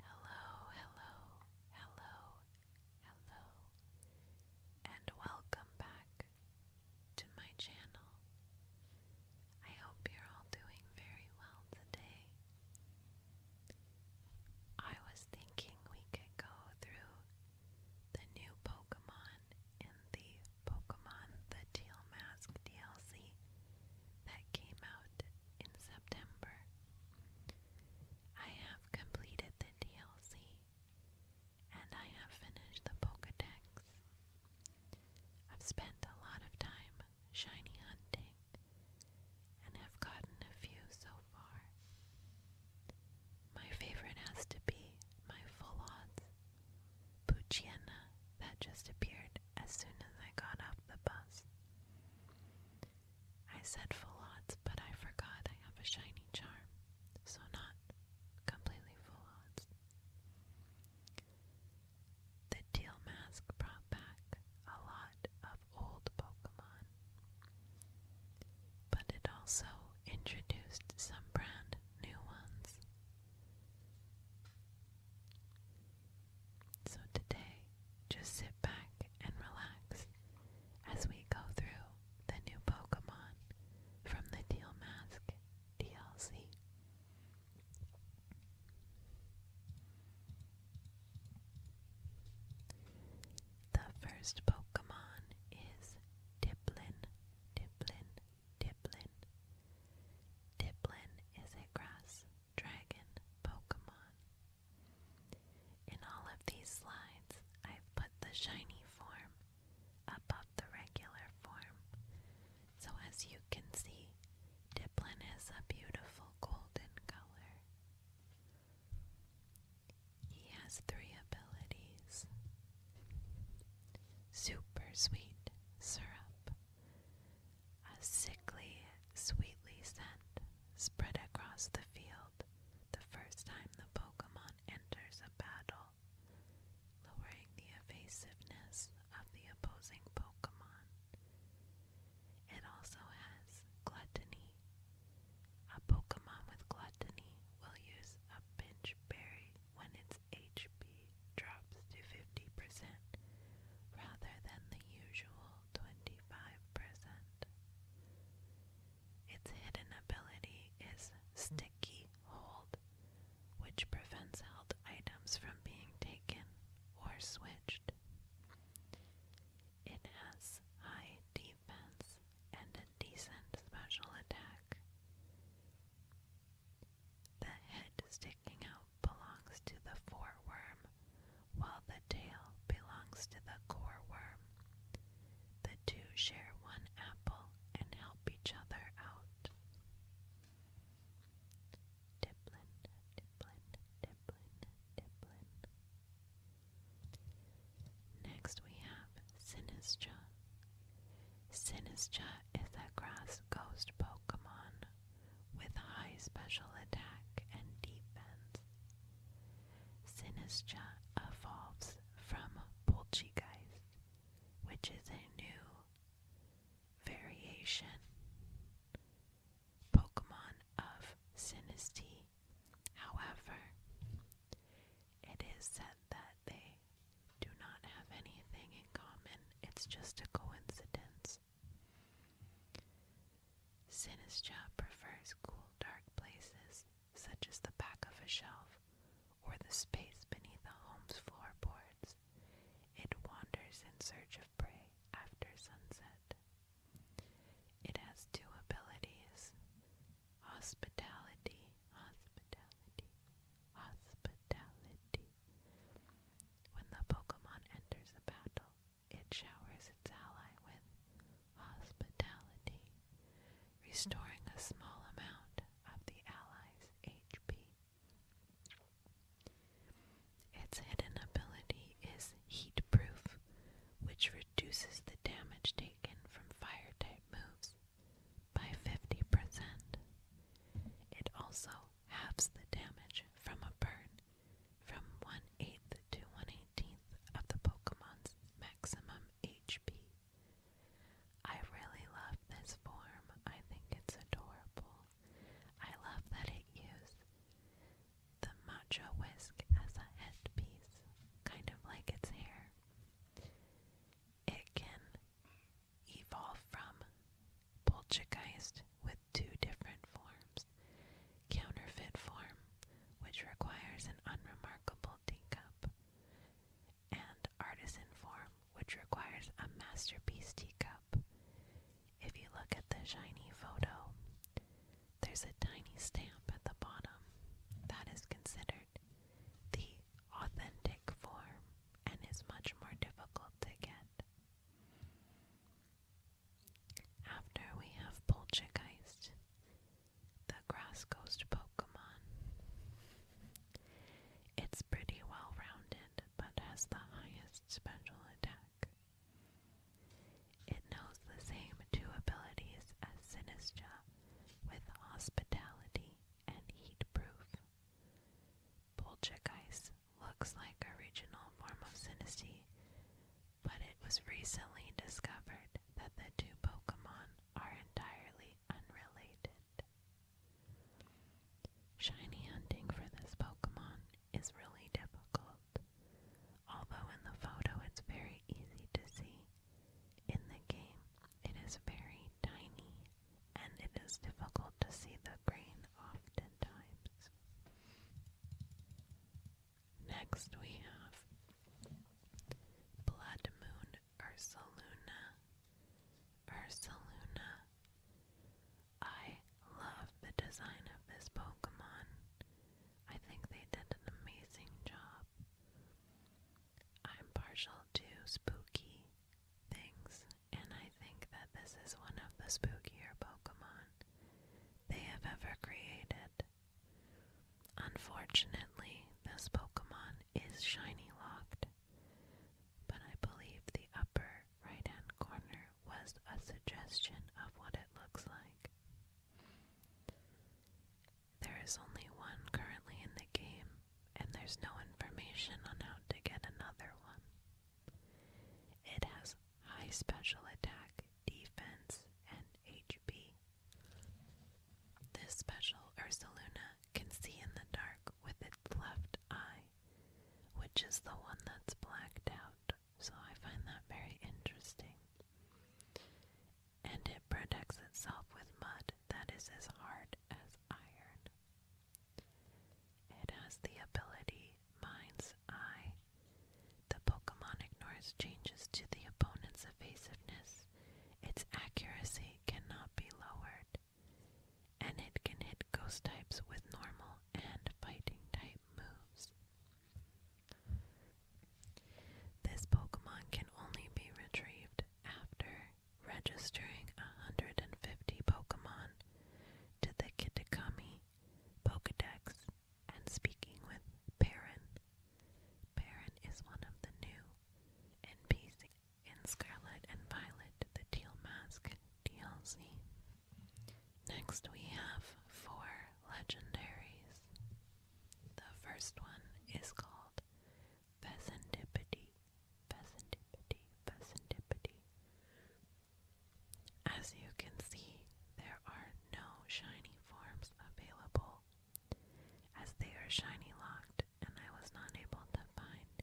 Hello, hello, hello, hello, and welcome back to my channel. I hope you're all doing very well today. I was thinking we could go through the new Pokemon in the Pokemon The Teal Mask DLC that came out in September. I have completed the DLC and I have finished the Pokedex. I've spent a lot of time shiny hunting and have gotten a few so far. My favorite has to be my full odds. Puchiana that just appeared as soon as I got off the bus. I said full odds, but I forgot I have a shiny charm, so not completely full odds. The Teal Mask brought back a lot of old Pokemon, but it also introduced some brand new ones. So today, just sit back and relax as we go through the new Pokemon from the Deal Mask DLC. The first Pokemon is Diplin Diplon, Diplin. Diplin is a grass dragon Pokemon. In all of these slides, I've put the shiny form above the regular form. So as you can see, Diplin is a beautiful golden color. He has three abilities Super Sweet Syrup, a sickly, sweetly scent spread across the field the first time the Pokemon enters a battle, lowering the evasiveness of the opposing Pokemon. It also has Gluttony. A Pokemon with gluttony Botany will use a pinch berry when its HP drops to 50% rather than the usual 25 Its hidden ability is Sticky Hold, which prevents held items from being taken or switched. It has high and a decent special attack. The head sticking out belongs to the foreworm, while the tail belongs to the core The two share one apple and help each other out. Diplin, diplin, diplin, diplin. Next we have Sinistra. Sinistra is a grass ghost Pokemon with high special attack and defense. Sinistra evolves from Poltergeist, which is a new variation Pokemon of Sinistee. However, it is said that they do not have anything in common. It's just a coincidence. Sinistra prefers cool, dark places, such as the back of a shelf or the space beneath a home's floorboards. It wanders in search of prey after sunset. It has two abilities hospitality, hospitality, hospitality. When the Pokemon enters a battle, it showers its ally with hospitality, restoring a small amount of the ally's HP. Its hidden ability is heat which reduces the damage taken from fire type moves by 50%. It also halves the damage from a burn from 1 eight to 1 18th of the Pokemon's maximum HP. I really love this form. I think it's adorable. I love that it uses the matcha whisk as a headpiece, kind of like its hair. It can evolve from poltergeist with two different forms counterfeit form, which requires an unremarkable teacup, and artisan form, which requires a masterpiece teacup. If you look at the shiny photo, there's a tiny stamp at the bottom that is considered the authentic form and is much more difficult to get. After we have Poltergeist, the Grass Ghost Pokemon. It's pretty well rounded, but has the highest special attack. It knows the same two abilities as Sinistra with Hospitality and heat looks like original form of Sinistee, but it was recently discovered that the two Pokemon are entirely unrelated. Shiny hunting for this Pokemon is really difficult. Although in the photo it's very easy to see, in the game, it is very tiny and it is difficult to see the grain oftentimes. Next we have Blood Moon Ursaluna. Ursaluna. I love the design of this Pokemon. I think they did an amazing job. I'm partial to spooky things, and I think that this is one of the spookier Pokemon they have ever created. Unfortunately, this Pokemon is shiny locked, but I believe the upper right hand corner was a suggestion of what it looks like. There is only one currently in the game, and there's no information on how to get another one. It has high special attack, defense, and HP. This special Ursaluna can see in the dark with its left eye, which is the one that's blacked out, so I find that very interesting and it protects itself with mud that is as hard as iron. It has the ability Mind's Eye. The Pokemon ignores changes to the opponent's evasiveness. Its accuracy cannot be lowered, and it can hit ghost types with normal and fighting type moves. This Pokemon can only be retrieved after registering 150 Pokemon to the Kitakami Pokedex and speaking with Perrin. Perrin is one of the new NPCs in Scarlet and Violet, the Teal Mask DLC. Next, we have four legendaries. The first one is called Fecundipity, fecundipity, fecundipity. As you can see, there are no shiny forms available, as they are shiny locked, and I was not able to find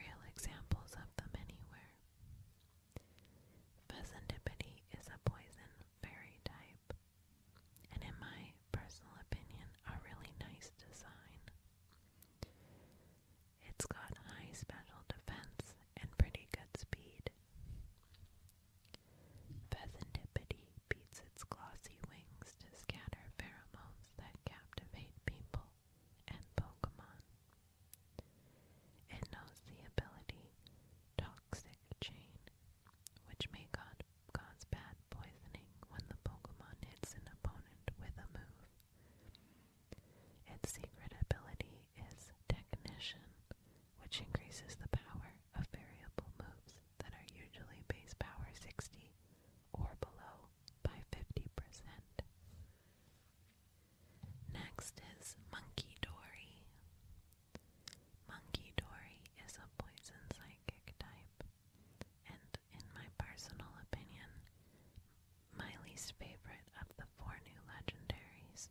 real examples of them anywhere. Fecundipity is a poison fairy type and in my personal opinion, a really nice design. It's got high special defense and pretty good speed. Pheasantipity beats its glossy wings to scatter pheromones that captivate people and Pokemon. It knows the ability Toxic Chain which may God, cause bad poisoning when the Pokemon hits an opponent with a move. Its secret ability is Technician, which increases the power of variable moves that are usually base power 60 or below by 50%. Next is Monkey Dory. Monkey Dory is a poison psychic type. And in my personal opinion, my least favorite of the four new legendaries.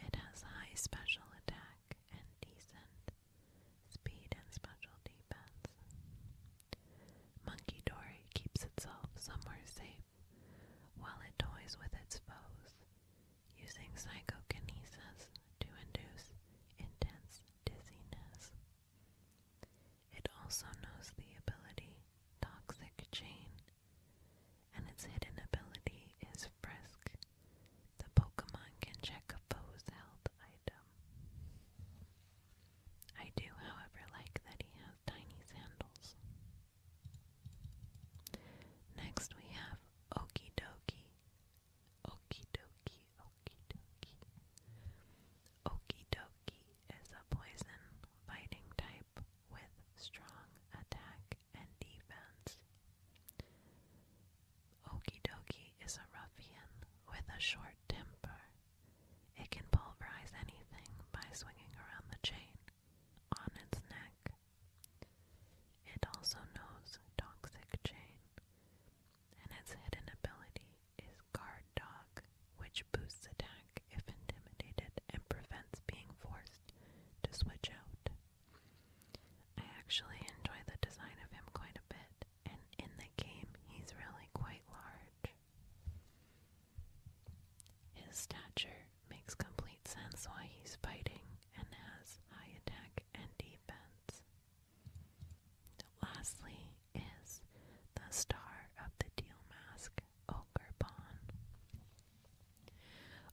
It has high special attack and decent speed and special defense. Monkey Dory keeps itself somewhere safe while it toys with its foes using psychokinesis to induce intense dizziness. It also knows the ability Toxic Chain, and its hidden ability is Frisk. The Pokemon can check a foe's health item. I do, however, like that he has tiny sandals. Next we have Okey Dokey dokie, okie dokie. Okie is a poison fighting type with strong attack and defense. Okie dokie is a ruffian with a short temper. It can pulverize anything by swinging around the chain on its neck. It also knows toxic chain, and its hidden ability is Guard Dog, which boosts attack if intimidated and prevents being forced to switch out. I actually enjoy the design of him quite a bit, and in the game, he's really quite large. His stature makes complete sense why he's fighting and has high attack and defense. Lastly is the star of the deal mask, Ogerbon.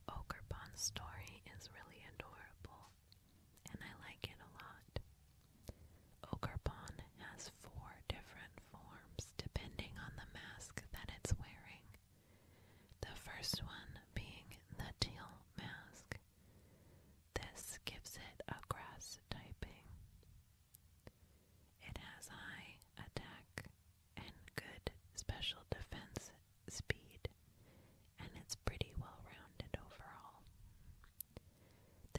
Ogerbon's story is really adorable, and I like it a lot. Ogerbon has four different forms depending on the mask that it's wearing. The first one being the teal mask, this gives it a grass typing. It has high attack and good special defense speed, and it's pretty well rounded overall.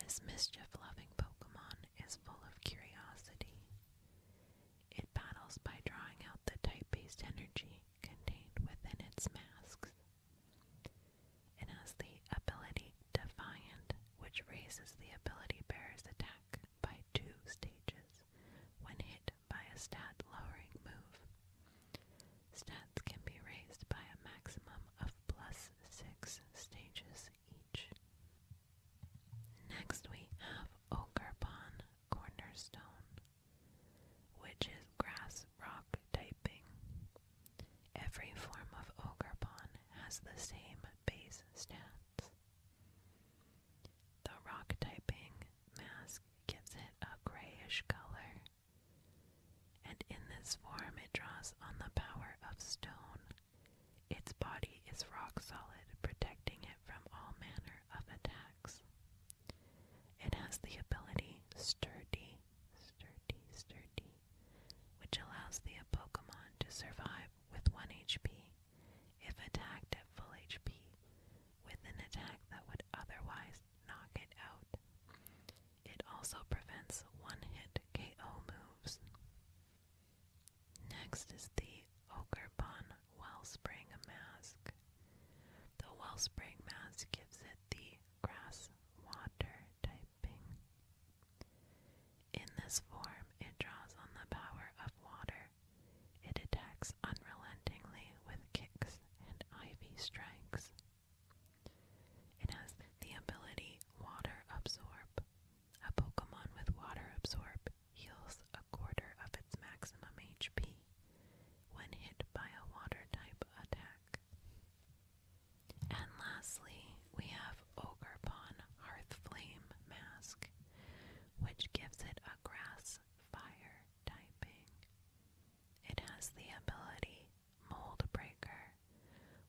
This mischief loving Pokemon is full of curiosity. It battles by drawing out the type based energy contained within its masks it has the ability Defiant, which raises the ability bearer's attack by two stages when hit by a stat lowering move. Stats can be raised by a maximum of plus six stages each. Next we have Ogrebon Cornerstone which is grass rock typing. Every form of ogre pawn has the same base stats. The rock typing mask gives it a grayish color, and in this form it draws on the power of stone. Its body is rock solid, protecting it from all manner of attacks. It has the ability Sturdy, Sturdy, Sturdy, which allows the Pokemon to survive with 1 HP if attacked at full HP with an attack that would otherwise knock it out. It also prevents one hit KO moves. Next is the Ogerbon Wellspring Mask. The Wellspring Mask gives it the grass water typing. In this form, it draws on the power of water. It attacks unrelentingly with kicks and ivy strikes. It has the ability Water Absorb. A Pokemon with Water Absorb heals a quarter of its maximum HP when hit by a water type attack. And lastly, we have Ogre Pawn Hearth Flame Mask, which gives it a grass fire typing. It has the ability Mold Breaker,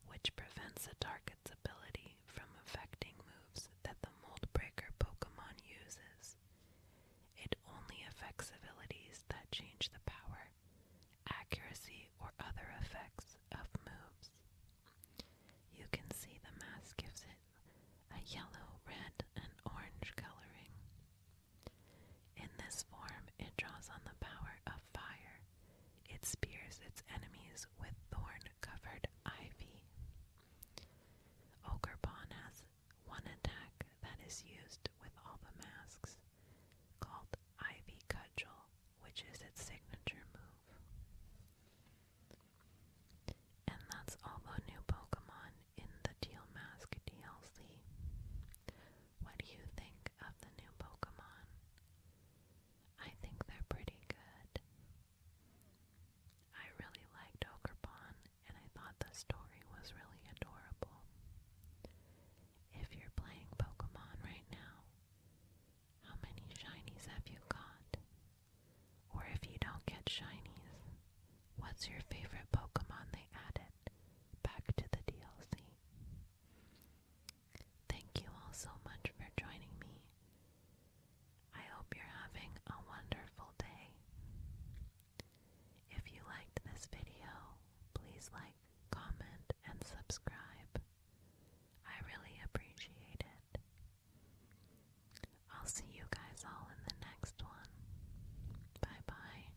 which prevents the target's ability from affecting moves that the Mold Breaker Pokemon uses. It only affects abilities that change the power accuracy, or other effects of moves. You can see the mask gives it a yellow, red, and orange coloring. In this form, it draws on the power of fire. It spears its enemies with thorn covered ivy. Ogre has one attack that is used with all the masks called Ivy Cudgel, which is its signature move. And that's all the new Pokemon in the Teal Mask DLC. What do you think of the new Pokemon? I think they're pretty good. I really liked Okerpon, and I thought the story was really adorable. If you're playing Pokemon right now, how many shinies have you caught? Or if you don't get shinies, what's your favorite Pokemon they added back to the DLC? Thank you all so much for joining me. I hope you're having a wonderful day. If you liked this video, please like, comment, and subscribe. I really appreciate it. I'll see you guys all in the next one. Bye bye.